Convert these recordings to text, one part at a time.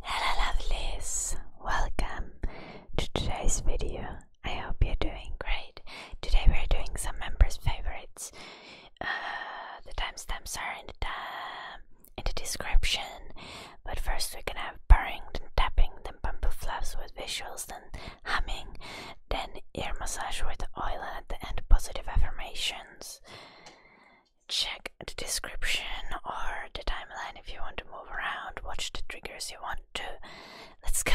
Hello lovelies, welcome to today's video. I hope you're doing great. Today we're doing some members' favorites. Uh, the timestamps are in the, description, but first we're gonna have purring, then tapping, then bumble flaps with visuals, then humming, then ear massage with oil, and positive affirmations check the description or the timeline if you want to move around, watch the triggers you want to. Let's go!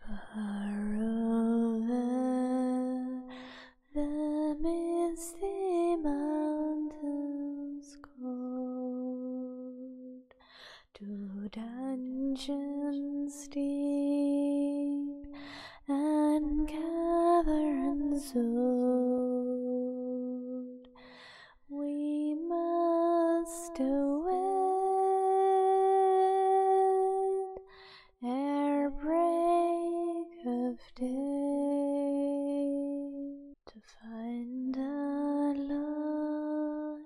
Far over the misty mountains cold, to dungeons deep and caverns old. We must await ere break of day to find a long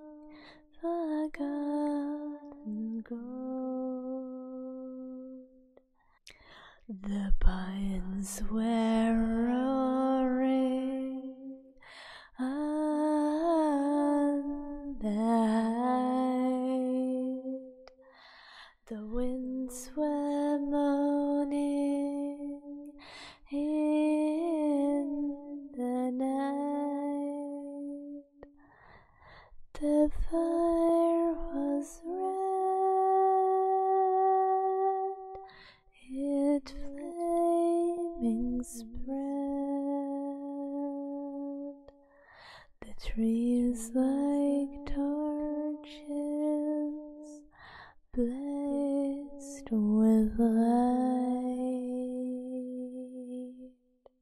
forgotten gold. The pines were roaring on the The winds were moaning in the night. The fire was red, it flaming spread. The trees like torches blazed with light.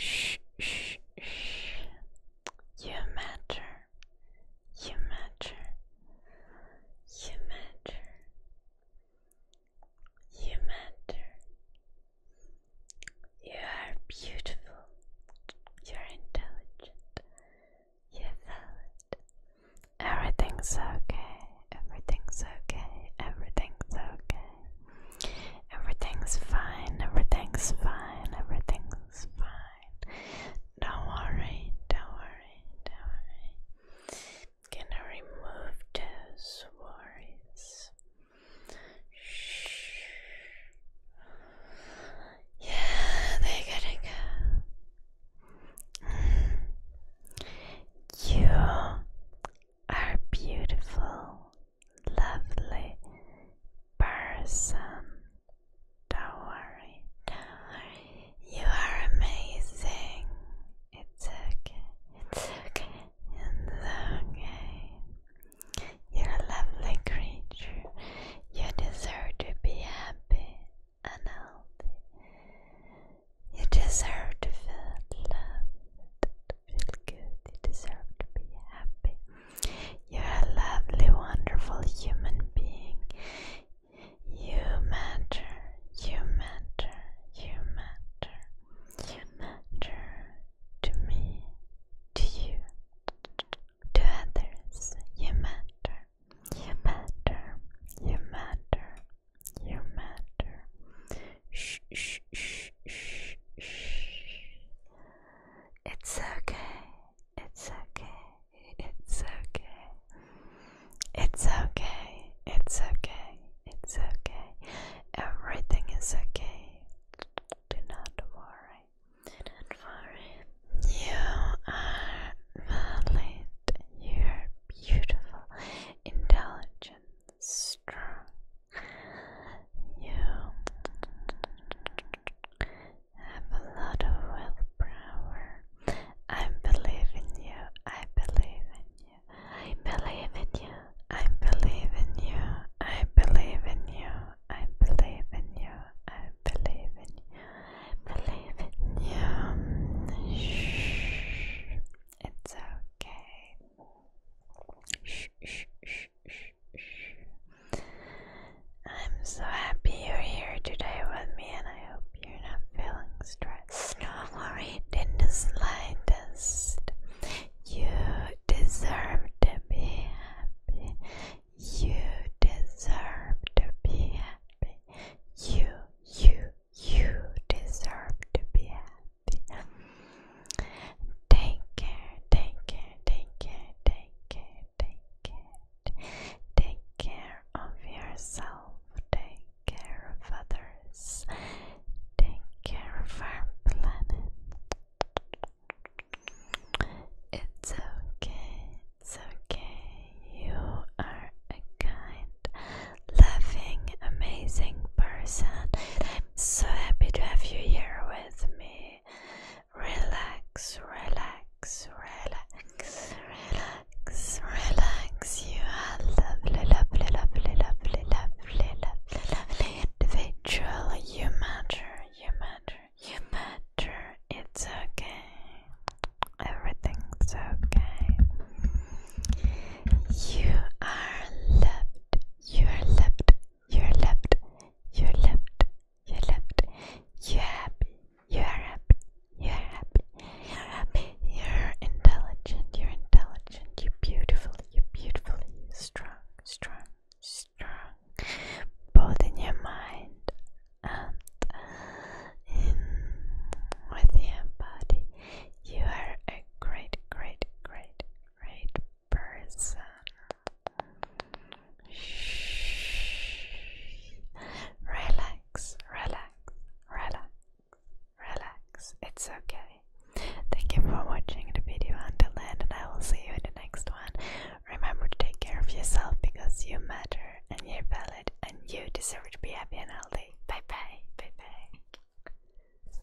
Shh, shh, shh. You matter. You matter. You matter. You matter. You are beautiful. You are intelligent. You're valid. Everything's okay. Everything's okay. Everything's okay. Everything's fine. Everything's fine. Everything's fine. Don't worry. Don't worry. Don't worry. Gonna remove those worries. Yeah, they gotta go. You are beautiful, lovely person. don't worry. You are amazing. It's okay. It's okay. It's You're a lovely creature. You deserve to be happy and healthy. You deserve to feel loved, feel good. You deserve to be happy. You're a lovely, wonderful human being. You matter, you matter, you matter, you matter, to me, to you, to others. You matter, you matter, you matter, you matter. Shh, shh, shh, shh, shh. It's okay, it's okay, it's okay. It's okay, it's okay, it's okay. Everything is okay. Do not worry. You are valid. You are beautiful, intelligent, strong. You have a lot of willpower. I believe in you. I believe in you. I believe in you. I believe in you. I believe in you. I believe in you. I believe in you. I believe in you. Shh. It's okay. Shh, shh, shh, shh, shh. I'm so happy you're here today with me, and I hope you're not feeling stressed. Not worried in the slightest. You deserve to be happy. You deserve to be happy. You, you, you deserve to be happy. Take care, take care, take care, take care, take care. Take care of yourself, take care of others. Take care of our planet. It's okay, okay. You are a kind, loving, amazing person. I'm so happy to have you here with me. Relax, relax, relax, relax, relax. You are lovely, lovely, lovely, lovely, lovely lovely, individual. You matter, you matter, you matter. It's okay. Everything's okay. You are loved, you are loved, you are loved, you are loved, you are loved, you are happy, you are happy, you are happy, you are happy, you are intelligent, you are intelligent, you are beautiful, you're beautifully strong, strong, strong, both in your mind and in with your body. You are a great, great, great, great person. Shh. Relax, relax, relax, relax. It's okay. Thank you for watching the video until the end, and I will see you in the next one. Remember to take care of yourself because you matter and you're valid and you deserve to be happy and healthy. Bye bye. Bye bye.